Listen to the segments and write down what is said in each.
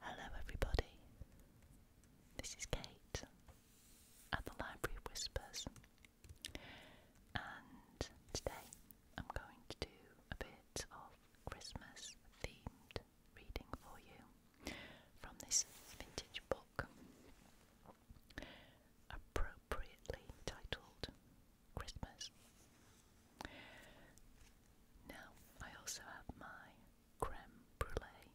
Hello, everybody. This is Kate at the Library Whispers, and today I'm going to do a bit of Christmas themed reading for you from this vintage book, appropriately titled Christmas. Now, I also have my creme brulee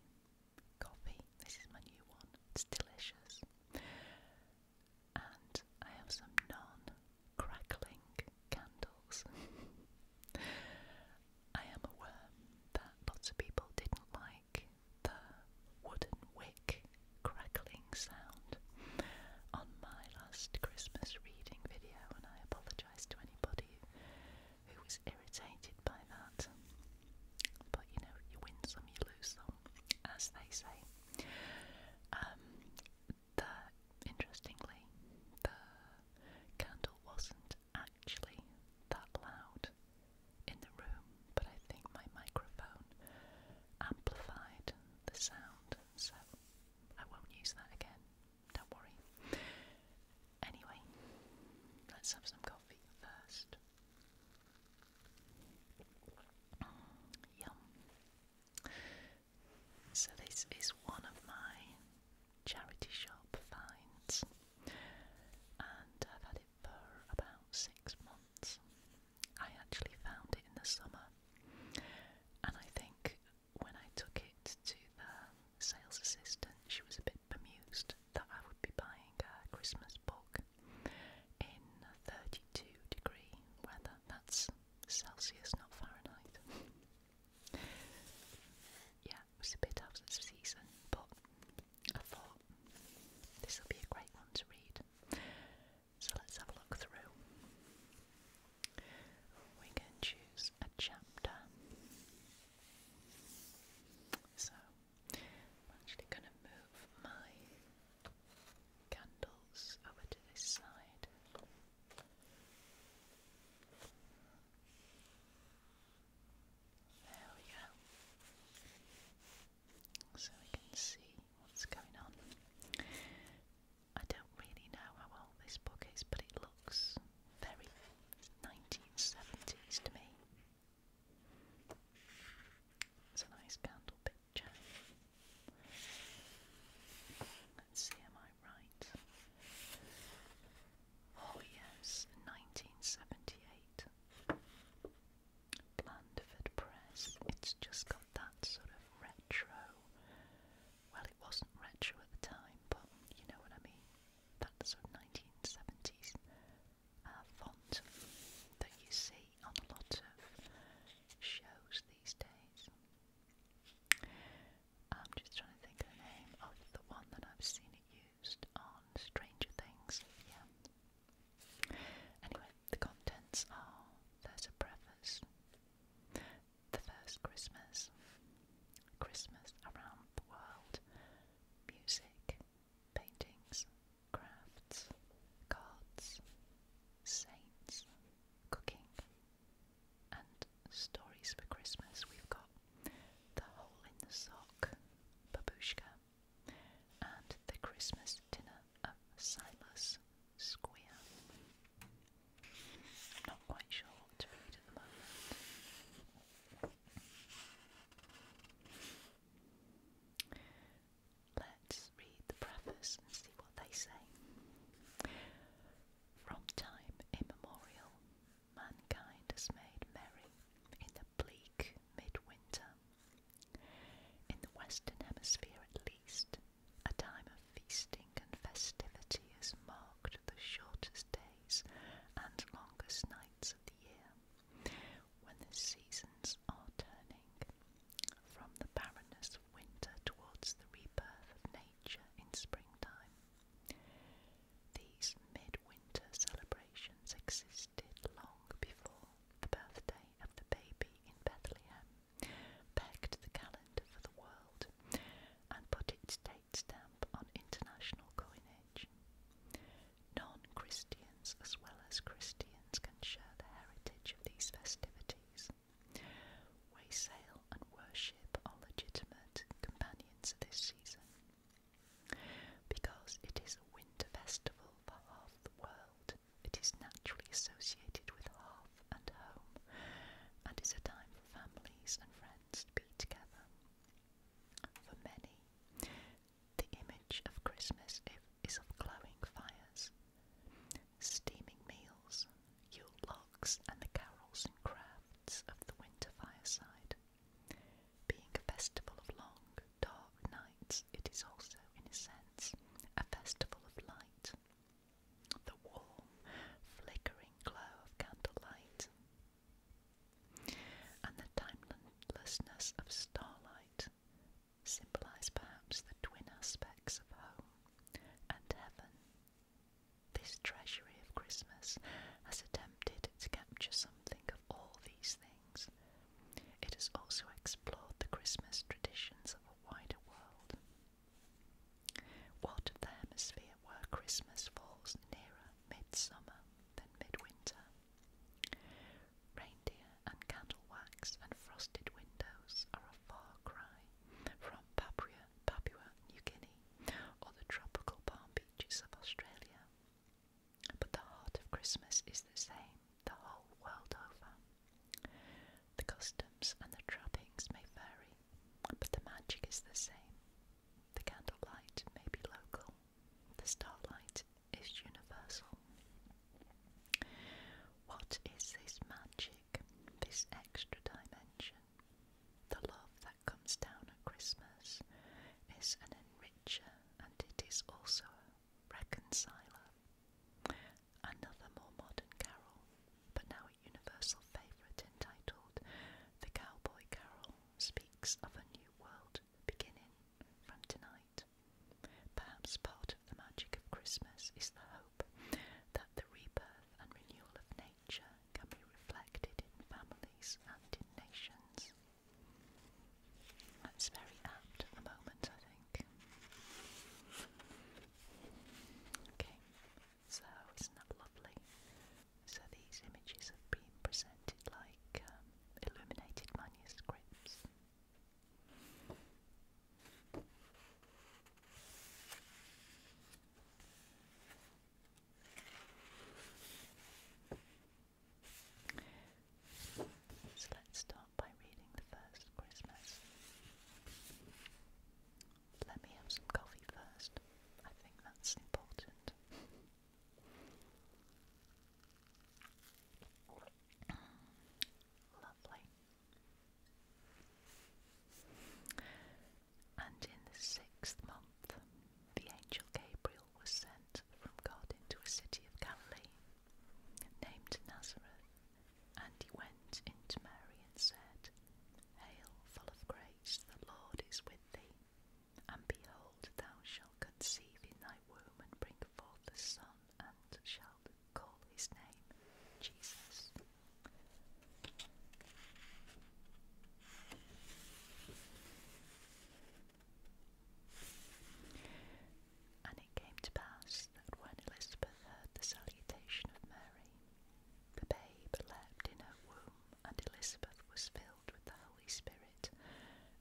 coffee. This is my new one, it's delicious. And I have some non crackling candles. I am aware that lots of people didn't like the wooden wick crackling sound on my last Christmas reading video, and I apologise apologise to anybody who was irritated by that. But you know, you win some, you lose some, as they say. Um, the, interestingly, the candle wasn't actually that loud in the room, but I think my microphone amplified the sound, so I won't use that again. Don't worry. Anyway, let's have some coffee first. Mm, yum. So, this is one of my charity shop finds, and I've had it for about six months. I actually found it in the summer, and I think when I took it to the sales assistant, she was a bit bemused that I would be buying a Christmas book in 32 degree weather. That's Celsius, not Fahrenheit. yeah, it was a bit out of season, but I thought this will be a great one to read. So let's have a look through we can choose a chapter. So I'm actually going to move my candles over to this side. There we go. So we can see what's going on. I don't really know how old this book is, but it looks very 1970s to me. It's a nice candle picture. Let's see, am I right? Oh, yes, 1978. Blandford Press. It's just got that sort of retro well, it wasn't retro at the time, but you know what I mean. That sort of 1970s uh, font that you see on a lot of shows these days. I'm just trying to think of the name of the one that I've seen it used on Stranger Things. Yeah. Anyway, the contents are there's a preface, the First Christmas, Christmas Around the World, Music, Paintings, Crafts, Cards, Saints, Cooking, and Stories for Christmas. We've got The Hole in the Sock, Babushka, and The Christmas Dinner of Silas Square. I'm not quite sure what to read at the moment. Let's read the preface and see what they say. From time immemorial, mankind has made merry in the bleak midwinter. In the Western Hemisphere, at least, a time feasting and festivity is marked the shortest days and longest nights of the year, when the seasons are turning from the barrenness of winter towards the rebirth of nature in springtime. These midwinter celebrations existed long before the birthday of the baby in Bethlehem, pegged the calendar for the world, and put its date stamp on international coinage. Non-Christians as well as Christians can share the heritage of these festivities. Waysail and worship are legitimate companions of this season. Because it is a winter festival for half the world, it is naturally associated with hearth and home and is a time for families and friends to be together. For many, the image of Christmas is of glowing fires, steaming meals, Yule logs, and the carols and crafts of the winter fireside. Being a festival of long, dark nights, it is also, in a sense, a festival of light the warm, flickering glow of candlelight, and the timelessness of starlight symbolize perhaps the twin aspects of home and heaven. This treasury of Christmas has attempted to capture something of all these things. It has also explored the Christmas traditions of a wider world. What of the hemisphere where Christmas falls nearer midsummer than midwinter? Reindeer and candle wax and frosted windows are a far cry from Papua, Papua New Guinea or the tropical palm beaches of Australia. But the heart of Christmas is the same the whole world over. The customs and the trappings may vary, but the magic is the same. The candlelight may be local, the starlight is universal. What is this magic, this extra dimension? The love that comes down at Christmas is an enricher and it is also a reconciler. Another more modern carol, but now universal favourite entitled The Cowboy Carol speaks of a new world beginning from tonight. Perhaps part of the magic of Christmas is the hope that the rebirth and renewal of nature can be reflected in families and in nations. That's very apt at the moment, I think. Okay, so isn't that lovely? So these images have been presented like um, illuminated manuscripts. So let's start by reading the first Christmas. Let me have some coffee first. I think that's important. Lovely. And in the sixth month, the angel Gabriel was sent from God into a city of Galilee named Nazareth, and he went into Mary and said, Hail, full of grace, the Lord is with thee. And behold, thou shalt conceive in thy womb and bring forth a son, and shalt call his name Jesus. And it came to pass that when Elizabeth heard the salutation of Mary, the babe leapt in her womb, and Elizabeth was filled with the Holy Spirit,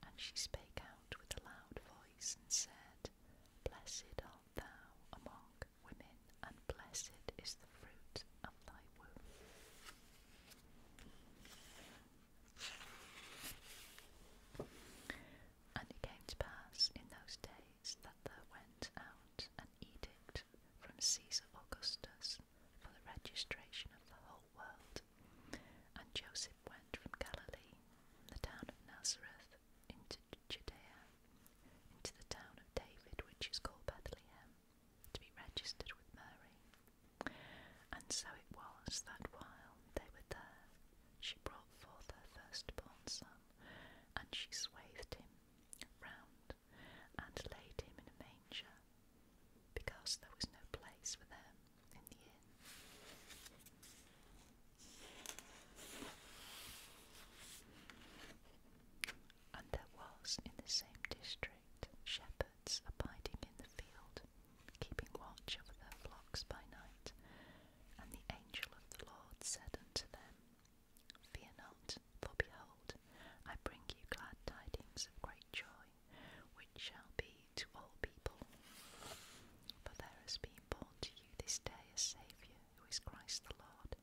and she spake out with a loud voice and said, Blessed art thou among women, and blessed is the fruit of thy womb. And it came to pass in those days that there went out an edict from Caesar Augustus for the registration of the whole world. And Joseph went from Galilee, from the town of Nazareth, into Judea, into the town of David, which is called Bethlehem, to be registered with Mary. And so it was that while they were there, she brought forth her firstborn son, and she swathed him round and laid him in a manger, because there was no place for them in the inn. And there was in the same district shepherds abiding in the field, keeping watch over their flocks by night. And the angel of the Lord said unto them, Fear not, for behold, I bring you glad tidings of great joy, which shall be to all people. For there has been born to you this day a Saviour, who is Christ the Lord,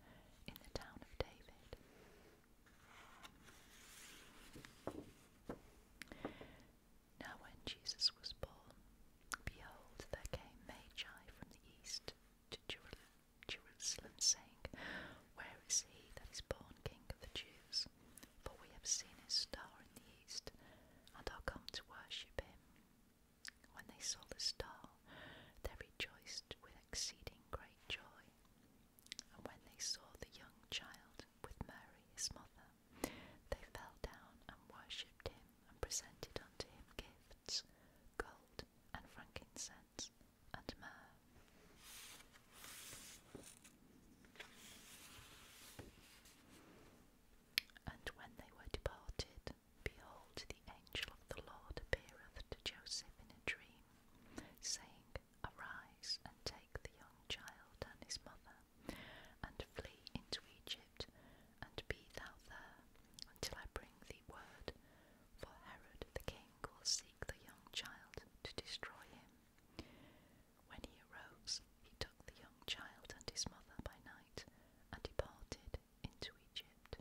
in the town of David. Now, when Jesus was born, behold, there came Magi from the east to Jerusalem, saying, Where is he that is born King of the Jews? For we have seen his star in the east, and are come to worship him. When they saw the star, they rejoiced with exceeding great joy. And when they saw the young child with Mary his mother, they fell down and worshipped him, and presented unto him gifts, gold and frankincense and Myrrh. And when they were departed, behold, the angel of the Lord appeareth to Joseph in a dream, saying, Arise and take the young child and his mother, and flee into Egypt, and be thou there until I bring thee word for Herod the king will seek the young child to destroy him. When he arose, he took the young child and his mother by night and departed into Egypt.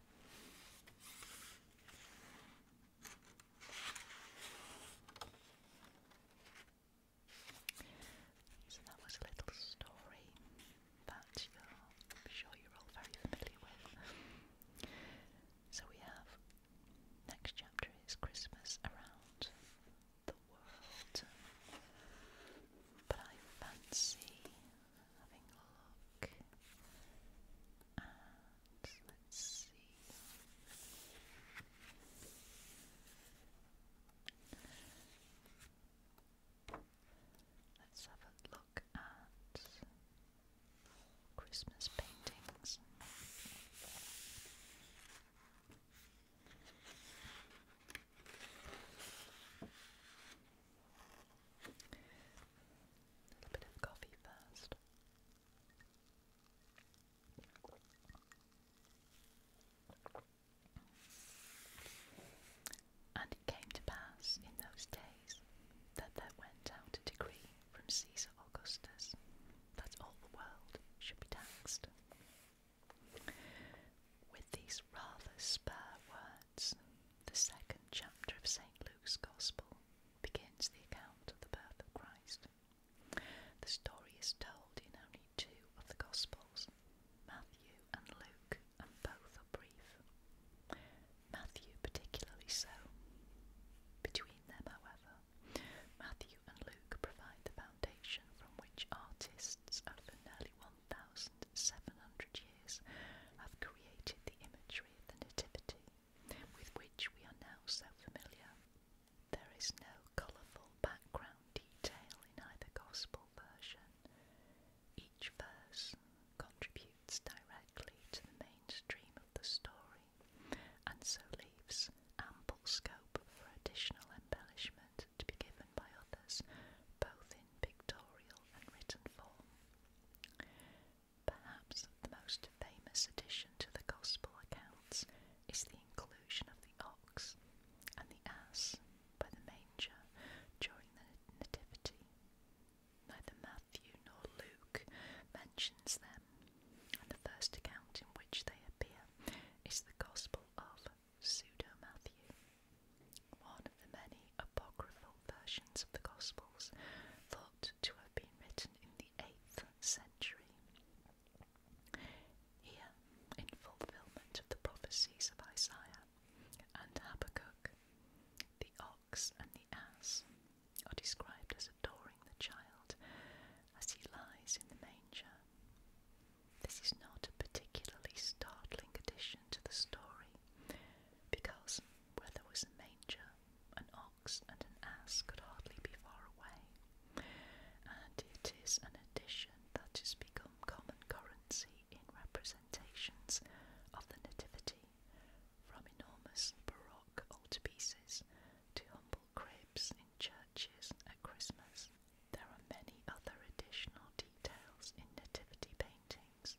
So that was a little story that you're, sure you're all very familiar with. So we have Next chapter is Christmas around the world. But I fancy having a look at let's see. Let's have a look at Christmas paintings. A little bit of coffee first. And it came to pass in those days that there went out a decree from Caesar Augustus that all the world should be taxed. With these rather spare words, the second chapter of St. Luke's Gospel begins the account of the birth of Christ. The story is told in only two of the Gospels, Matthew and Luke, and both are brief. Matthew particularly so. Between them, however, Matthew and Luke provide the foundation from which artists, over nearly 1,700 years, have created the imagery of the Nativity, with which we are now so familiar. There is no colourful background detail in either Gospel version. Each verse contributes directly to the mainstream of the story and so leaves ample scope for additional embellishment to be given by others, both in pictorial and written form. Perhaps the most famous addition to the Gospel accounts is the inclusion of the ox and the ass by the manger during the Nativity. Neither Matthew nor Luke mentions them, and the first account in which they appear is the Gospel of Pseudo Matthew, one of the many apocryphal versions of the Gospels thought to have been written in the 8th century. Here, in fulfillment of the prophecies of Isaiah and Habakkuk, the ox and the ass are described as adoring the child as he lies in the manger. This is not a particularly startling addition to the story, because where there was a manger, an ox and an ass could hardly be far away, and it is an addition that has become common currency in representations of the Nativity from enormous Baroque altarpieces to humble cribs in churches at Christmas. There are many other additional details in nativity paintings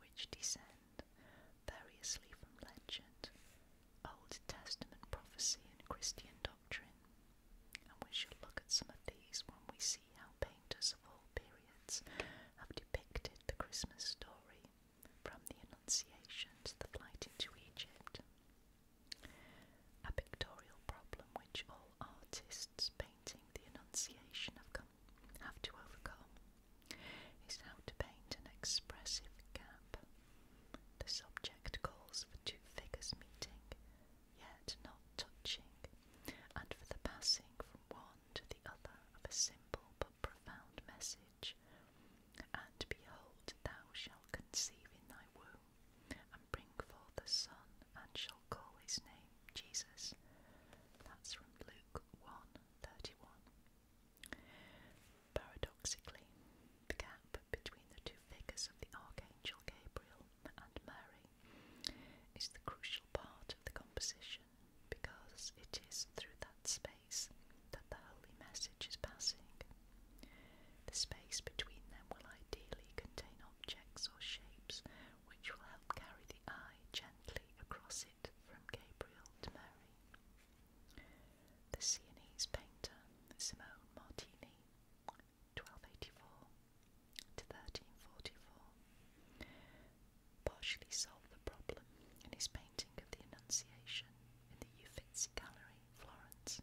which descend variously from legend, Old Testament prophecy, and Christian doctrine, and we shall look at some of these when we see how painters of all periods have depicted the Christmas story from the Annunciation to the flight into Egypt. A pictorial problem which all artists painting the Annunciation have, come, have to overcome is how to paint an expressive gap. The subject calls for two figures meeting, yet not touching, and for the passing from one to the other of a simple but profound message. And behold, thou shalt conceive in thy womb, and bring forth a son, and shall call his name Jesus. That's from Luke 1 Paradoxically, the gap between the two figures of the Archangel Gabriel and Mary is the crucial part of the composition because it is through that space that the holy message is passing. The space between them will ideally contain objects or shapes which will help carry the eye gently across it from Gabriel to Mary. The Sienese painter Simone Martini, 1284 to 1344, partially solved the problem in his painting of the Annunciation in the Uffizi Gallery, Florence,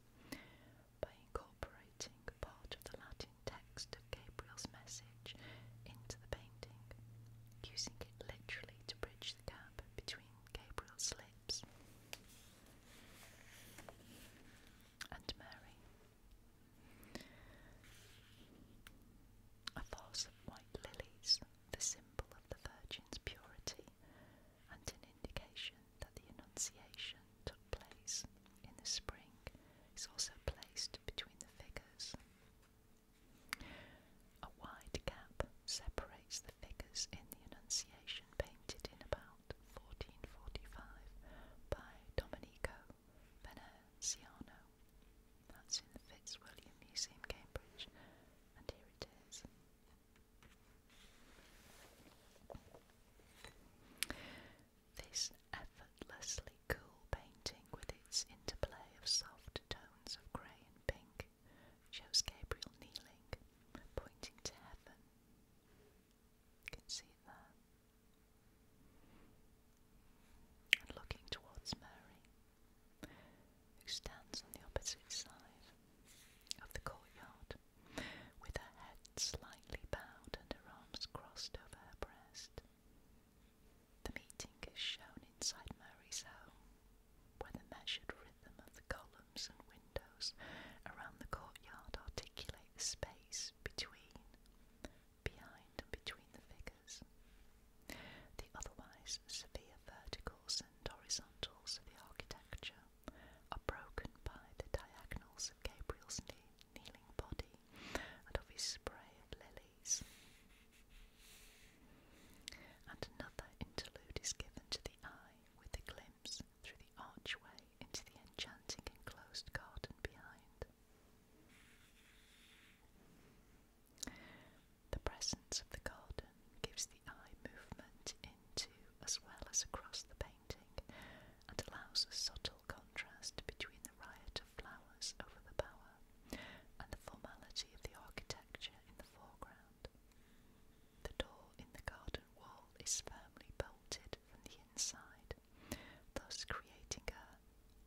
by incorporating part of the Latin text of Gabriel's message into the painting, using it literally to bridge the gap between Gabriel's lips and Mary. A vase of white lilies, the symbol the Virgin's purity and an indication that the Annunciation took place in the spring is also placed between the figures. A wide gap separates the figures in the Annunciation painted in about 1445 by Domenico Veneziano. That's in the Fitzwilliam Museum, Cambridge, and here it is. This effortlessly cool painting, with its interplay of soft tones of grey and pink, shows Gabriel kneeling, pointing to heaven. You can see it And looking towards Mary who stands on the opposite side of the courtyard, with her head slightly bowed and her arms crossed over her breast. The meeting is shown inside Mary's home, where the measured rhythm of the columns and windows around the courtyard articulate the space between, behind, and between the figures. The otherwise severe verticals and horizontals of the architecture are broken by the diagonals of Gabriel's kneeling body and of his spray of lilies. And another interlude is given to the eye with a glimpse through the archway into the enchanting enclosed garden behind. The presence of the garden gives the eye movement into as well as across the painting and allows a subtle contrast between the riot of flowers over the bower and the formality of the architecture in the foreground. The door in the garden wall is firmly bolted from the inside, thus creating a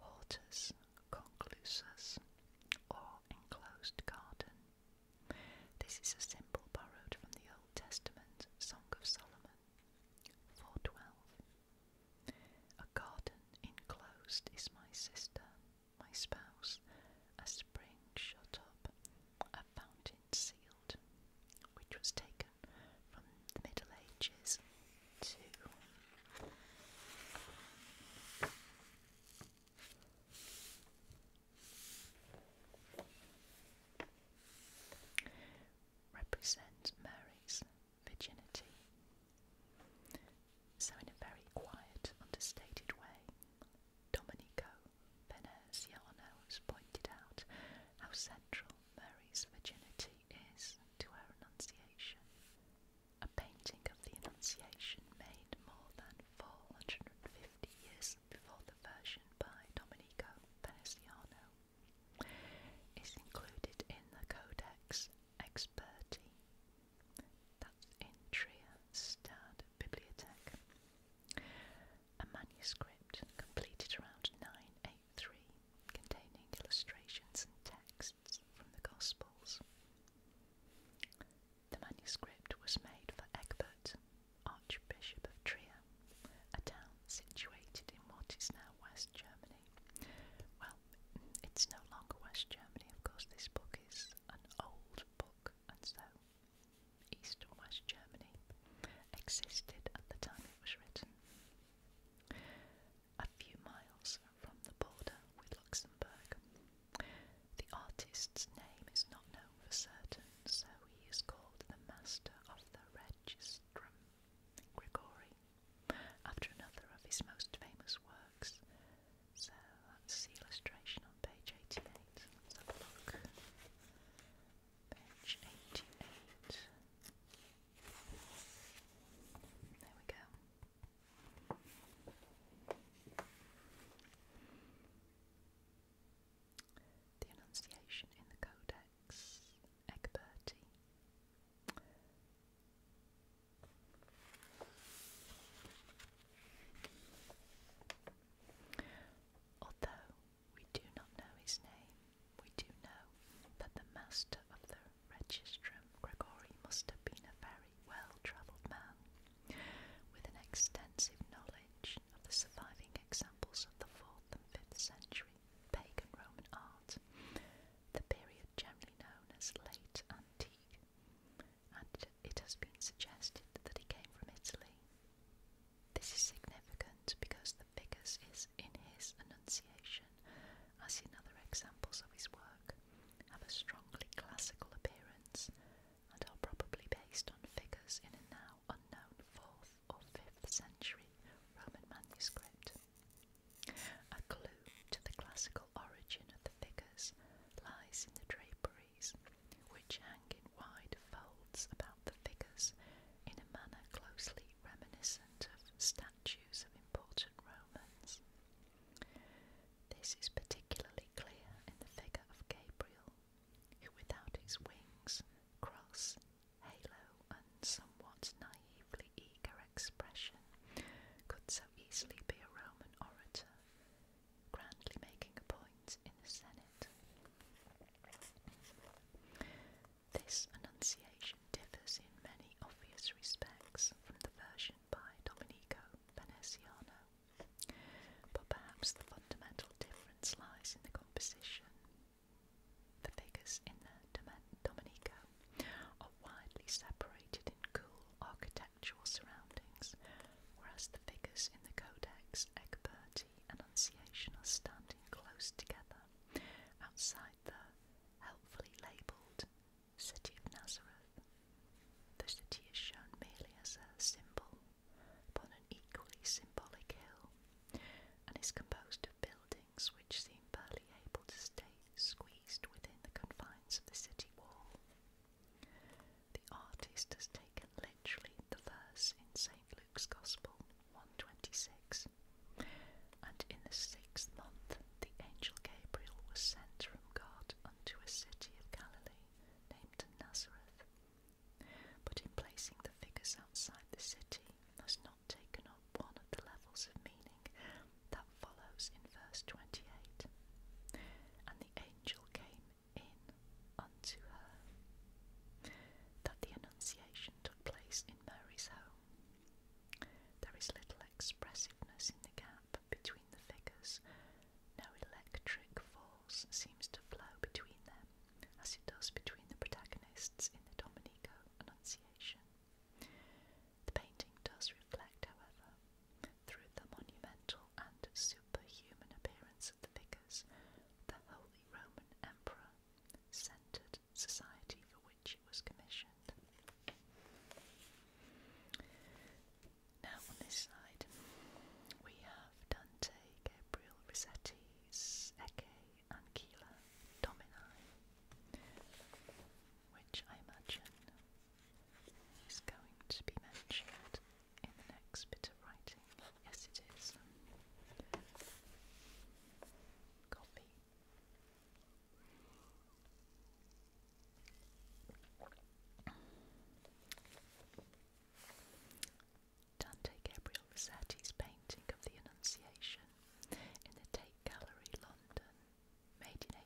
hortus conclusus or enclosed garden this is a simple borrowed from the Old Testament Song of Solomon. 412. A garden enclosed is my sister, my spouse, a spring shut up, a fountain sealed, which was taken from the Middle Ages to represents Mary's virginity. So, in a very quiet, understated way, Domenico Veneziano has pointed out how central Mary's virginity is to her Annunciation a painting of the Annunciation made more than 450 years before the version by Domenico Veneziano, is included in the Codex Experti, that's in Trieste Stad A manuscript completed around 983 containing illustrations and texts from the Gospels. The manuscript was made for Egbert, Archbishop of Trier, a town situated in what is now West Germany. Well, it's no longer West Germany, of course, this book is an old book, and so East and West Germany existed at the time it was written. A few miles from the border with Luxembourg, the artist's name is not known for certain, so he is called the Master of the Registrum Grigori, after another of his most famous works. So that's illustration on page 88. Let's have Page 88. There we go. The enunciation in the Codex Egberti. Although we do not know his name, we do know that the master of the register Gregory, must have been a very well-travelled man, with an extensive knowledge of the surviving examples of the 4th and 5th century pagan Roman art, the period generally known as Late Antique, and it has been suggested that he came from Italy. This is significant because the figures is in his Annunciation, as in other examples of his work, have a strongly classical appearance and are probably based on figures in a now unknown 4th or 5th century Roman manuscript. A clue to the classical origin of the figures lies in the draperies, which hang in wide folds about the figures in a manner closely reminiscent of statues of important Romans. This is particularly clear in the figure of Gabriel, who without his wings, cross, halo, and somewhat naively eager expression could so easily be a Roman orator, grandly making a point in the Senate. This enunciation differs in many obvious respects from the version by Domenico Veneziano, but perhaps the fundamental difference lies in the composition. The figures in the Domenico are widely separated in cool architectural surroundings, whereas the figures in the Codex Egberti and Annunciation are standing close together outside the helpfully labelled City of Nazareth. The city is shown merely as a symbol upon an equally symbolic hill and is composed of buildings which seem barely able to stay squeezed within the confines of the city wall. The artist has taken literally the verse in St. Luke's Gospel 126 and in the sixth month the angel Gabriel was sent from God unto a city of Galilee named Nazareth, but in placing the figures outside the city has not taken up one of the levels of meaning that follows in verse 28. And the angel came in unto her. That the Annunciation took place in Mary's home. There is little expressiveness in the gap between the figures. No electric force seems to flow between them, as it does between the protagonists in the Domenico Annunciation. The painting does reflect, however, through the monumental and superhuman appearance of the figures, the Holy Roman Emperor centered society for which it was commissioned. Now on this side we have Dante, Gabriel, Rossetti's Ecce and Keeler which I imagine is going to be mentioned in the next bit of writing. Yes, it is. Copy. Dante Gabriel Rossetti's painting of the Annunciation in the Tate Gallery, London, made in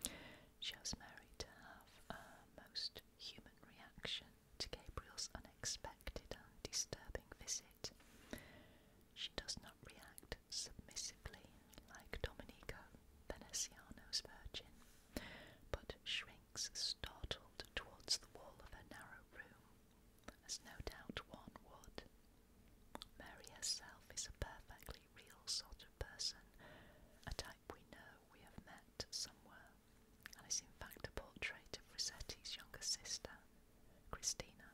1850, shows Mary to have a most human reaction to Gabriel's unexpected and disturbing visit. She does not react submissively like Domenico Veneziano's Virgin but shrinks startled towards the wall of her narrow room, as no doubt one would. Mary herself is a perfectly real sort of person, a type we know we have met somewhere, and is in fact a portrait of Rossetti's younger sister, Christina.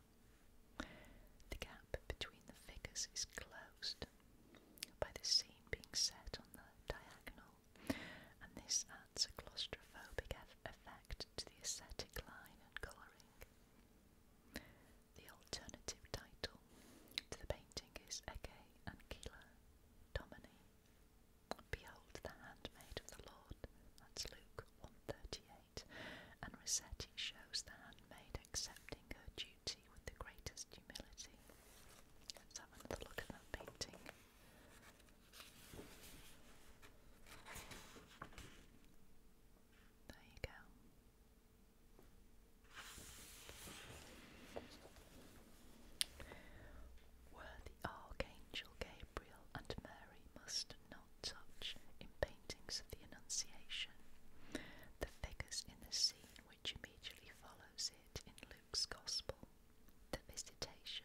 The gap between the figures is closed, by the seam being set on the diagonal, and this adds a claustrophobic effect to the aesthetic line and colouring. The alternative title to the painting is Ege Ancilla Domini. Behold the handmaid of the Lord, that's Luke 138, and Rossetti shows the handmaid accepting her due with the greatest humility. Let's have another look at that painting. There you go. Were the Archangel Gabriel and Mary must not touch in paintings of the Annunciation, the figures in the scene which immediately follows it in Luke's Gospel. The visitation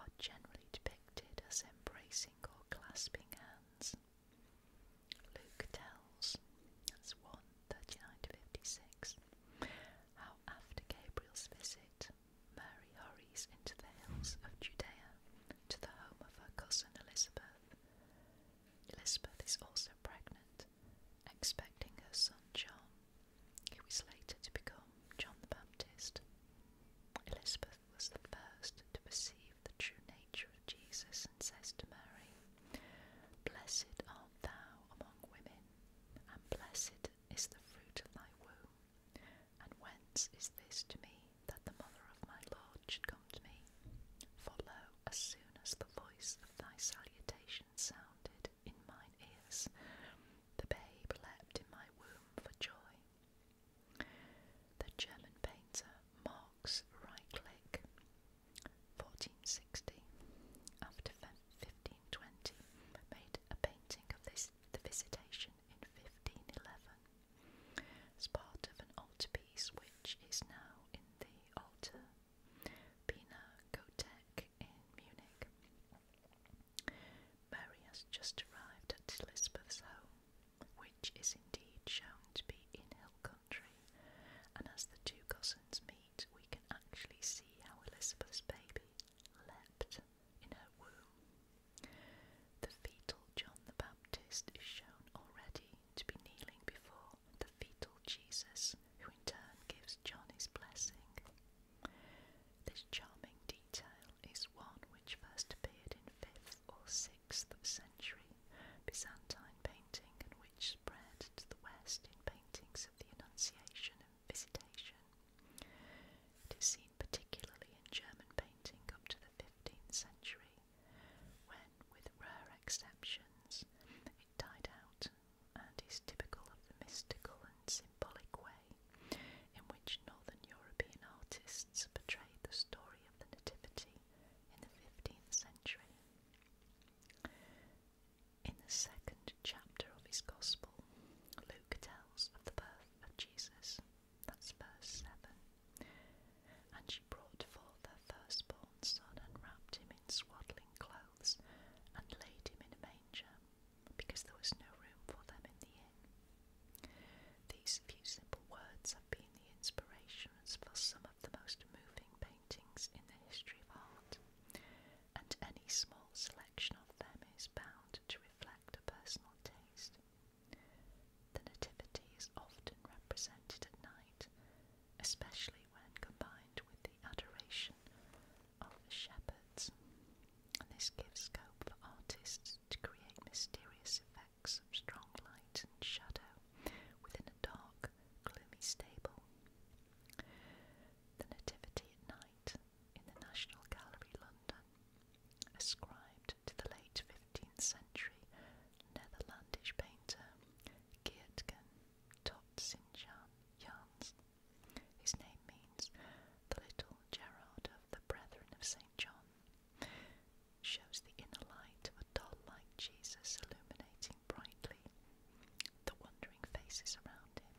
are generally depicted as embracing or clasping hands. Luke tells, that's 1 to 56, how after Gabriel's visit, Mary hurries into the hills of Judea to the home of her cousin Elizabeth, Elizabeth is also pregnant, expecting her son John, who was later to become John the Baptist. Elizabeth was the first to perceive the true nature of Jesus and says to Mary, Blessed art thou among women, and blessed is the fruit of thy womb. And whence is this to me that the mother of my Lord should come to me? For as soon as the voice of thy salutation vibration sounded in my ears. The babe leapt in my womb for joy. The German painter Marx Reichlich, 1460, after 1520, made a painting of this, the Visitation in 1511, as part of an altarpiece which is now in the altar Pina Kotek in Munich. Mary has just arrived at Elizabeth's home, which is indeed shown to be in hill country, and as the two cousins meet, we can actually see how Elizabeth's baby leapt in her womb. The fetal John the Baptist is shown already to be kneeling before the fetal Jesus who in turn gives Johnny's blessing. This charming detail is one which first appeared in 5th or 6th century Byzantine painting and which spread to the west in paintings of the Annunciation and Visitation. It is seen particularly in German painting up to the 15th century, when, with rare exceptions, it died out and is typical of the mystical and symbolic way in which Northern European artists portrayed the story of the Nativity in the 15th century. In the second chapter of his Gospel, Luke tells of the birth of Jesus. That's verse 7. And she brought forth her firstborn son and wrapped him in swaddling clothes and laid him in a manger, because there was no room for them in the inn. These few simple words have been the inspirations for some of the most moving paintings in the history of art, and any small selection of them is bound to reflect a personal taste. The Nativity is often represented at night especially when combined with the adoration of shepherds. And this gives scope for artists to create mysterious effects of strong light and shadow within a dark, gloomy stable. The Nativity at Night in the National Gallery, London, ascribed to the late 15th century Netherlandish painter Geertgen Totsinjan Jans. His name means the little Gerard of the Brethren of St. John. Shows the inner light of a doll light Jesus illuminating brightly the wondering faces around him.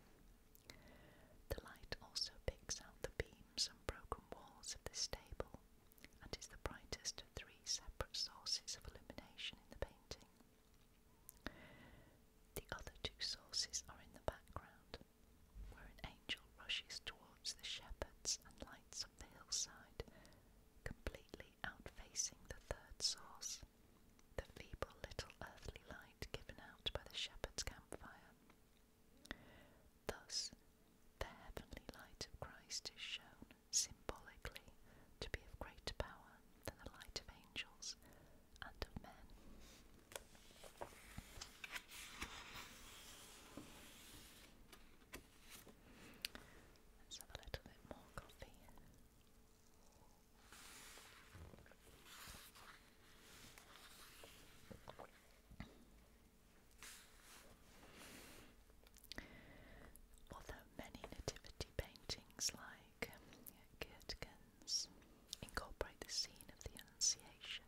The light also picks out the beams and broken walls of the stable and is the brightest of three separate sources of illumination in the painting. The other two sources are in the background, where an angel rushes towards the shepherds and lights up the hillside, completely outfacing the third source, the feeble little earthly light given out by the shepherd's campfire. Thus, the heavenly light of Christ is shown symbolically to be of greater power than the light of angels and of men. Let's have a little bit more coffee. Although many nativity paintings lie like Girtgens incorporate the scene of the Annunciation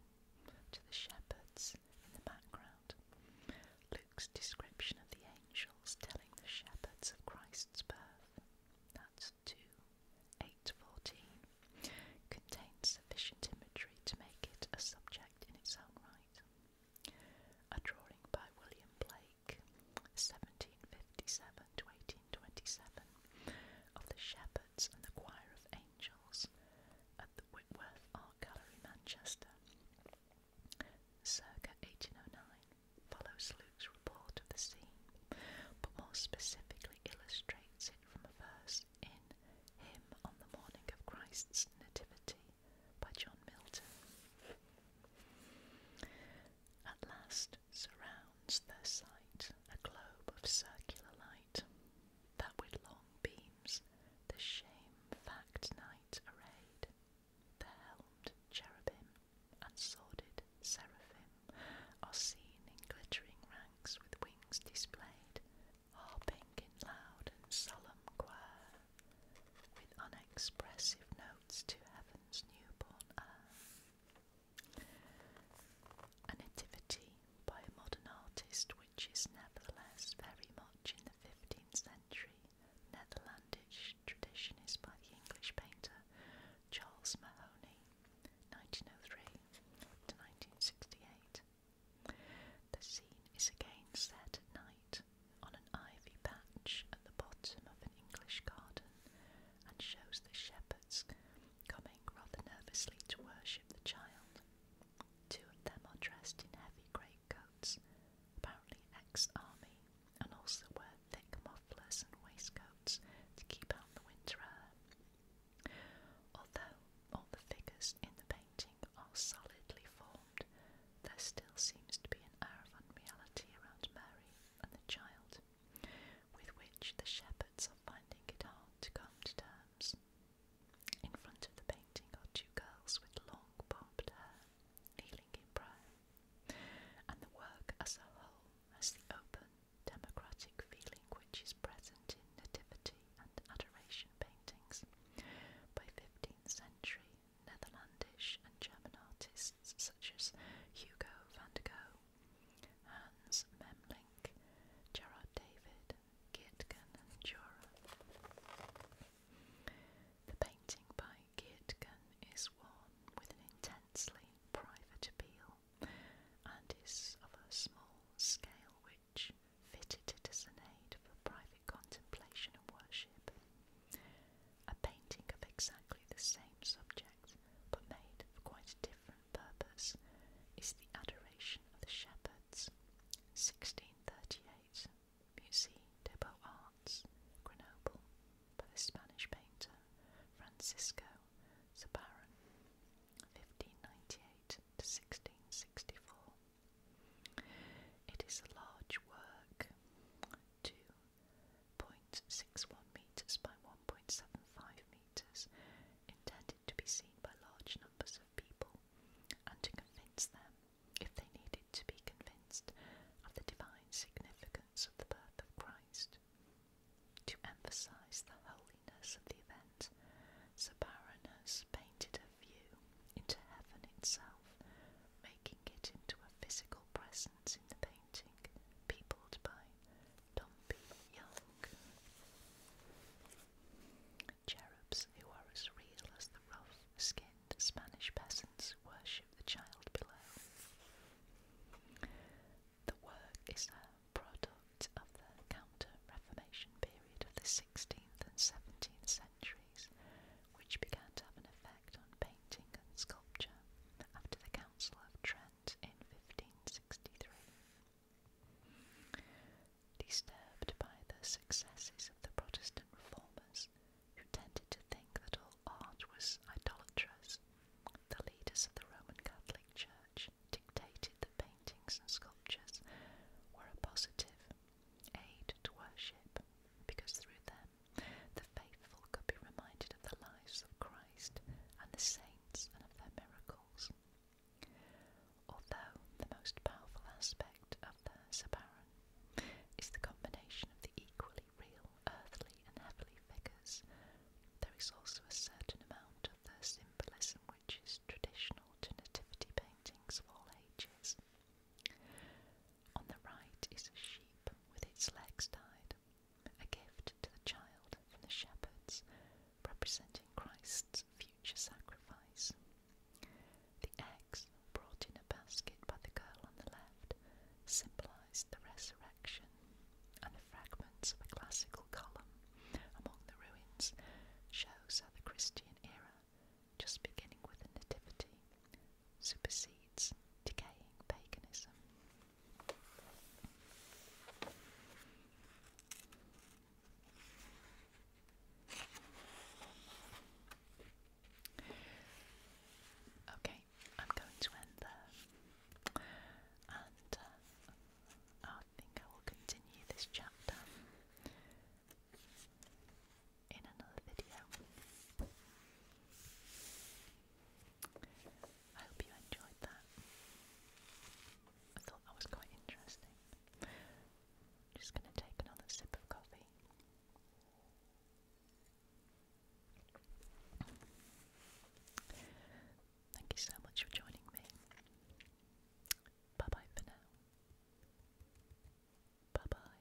to the shepherds in the background. Luke's description of the angels telling the shepherds of Christ's birth, that's 2 8 14, contains sufficient imagery to make it a subject in its own right. A drawing by William Blake 1757 to 1827, of the Shepherds and the Choir of Angels at the Whitworth Art Gallery, Manchester. Circa 1809 follows Luke's report of the scene, but more specifically illustrates it from a verse in Hymn on the Morning of Christ's Nativity by John Milton at last surrounds their sight a globe of circular light, that with long beams the shame-fact knight arrayed, the helmed cherubim and sordid seraphim are seen in glittering ranks with wings displayed, harping in loud and solemn choir, with unexpressive notes to heaven. Dickens' Newborn A nativity by a modern artist which is nevertheless very much in the 15th century Netherlandish tradition is by the English painter Charles Mahony, 1903 to 1968. The scene is again set at night on an ivy patch at the bottom of an English garden and shows the shepherds coming rather nervously to worship the child. Two of them are dressed in heavy greatcoats, apparently ex army, and also wear thick mufflers and waistcoats to keep out the winter air. Although all the figures in the painting are solidly formed, there still seems to be an air of unreality around Mary and the child, with which the shepherds are finding it hard to come to terms. In front of the painting are two girls with long bobbed hair, kneeling in prayer, and the work as a whole has the open, democratic feeling which is present in nativity and adoration paintings by 15th century Netherlandish and German artists such as Hugo van der Gogh, Hans Memling, Gerard David, Gietgen and Durer. The painting by Gietgen is one with an intensely private appeal and is of a small scale which fitted it as an aid for private contemplation and worship. A painting of exactly the same subject, but made for quite a different purpose, is the Adoration of the Shepherds, 1638, Musée des Beaux-Arts, Grenoble, by the Spanish painter Francisco Zabaran, 1598 to 1664. It is a large work, two 1.61 metres by 1.75 metres, intended to be seen by large numbers of people, and to convince them, if they needed to be convinced, of the divine significance of the birth of Christ. To emphasise the holiness of the event, Sabarinus painted a view into heaven itself, making it into a physical presence in the painting painting, by Dombey Young. Cherubs, who are as real as the rough-skinned Spanish peasants, worship the child below. The work is a product of the Counter-Reformation period of the 16th and 17th centuries, which began to have an effect on painting painting and sculpture after the Council of Trent in 1563. Disturbed by the successes of the Protestant reformers, who tended to think that all art was idolatrous, the leaders of the Roman Catholic Church dictated that paintings and sculptures were a positive aid to worship, because through them the faithful could be reminded of the lives of Christ and the saints and of their miracles. Although the most powerful aspect of the Sabaran is the combination of the equally real earthly and heavenly figures, there is also a certain amount of the symbolism which is traditional to nativity paintings of all ages. On the right is a sheep with its legs tied a gift to the child from the shepherds, representing Christ's future sacrifice. The eggs, brought in a basket by the girl on the left, symbolized the resurrection, and the fragments of a classical column among the ruins shows how the Christian era, just beginning with the Nativity, supersedes decaying paganism. Okay, I'm going to end there, and uh, I think I will continue this chapter in another video. I hope you enjoyed that. I thought that was quite interesting. Just going to take another sip of coffee. Thank you so much for joining me. Bye bye for now. Bye bye.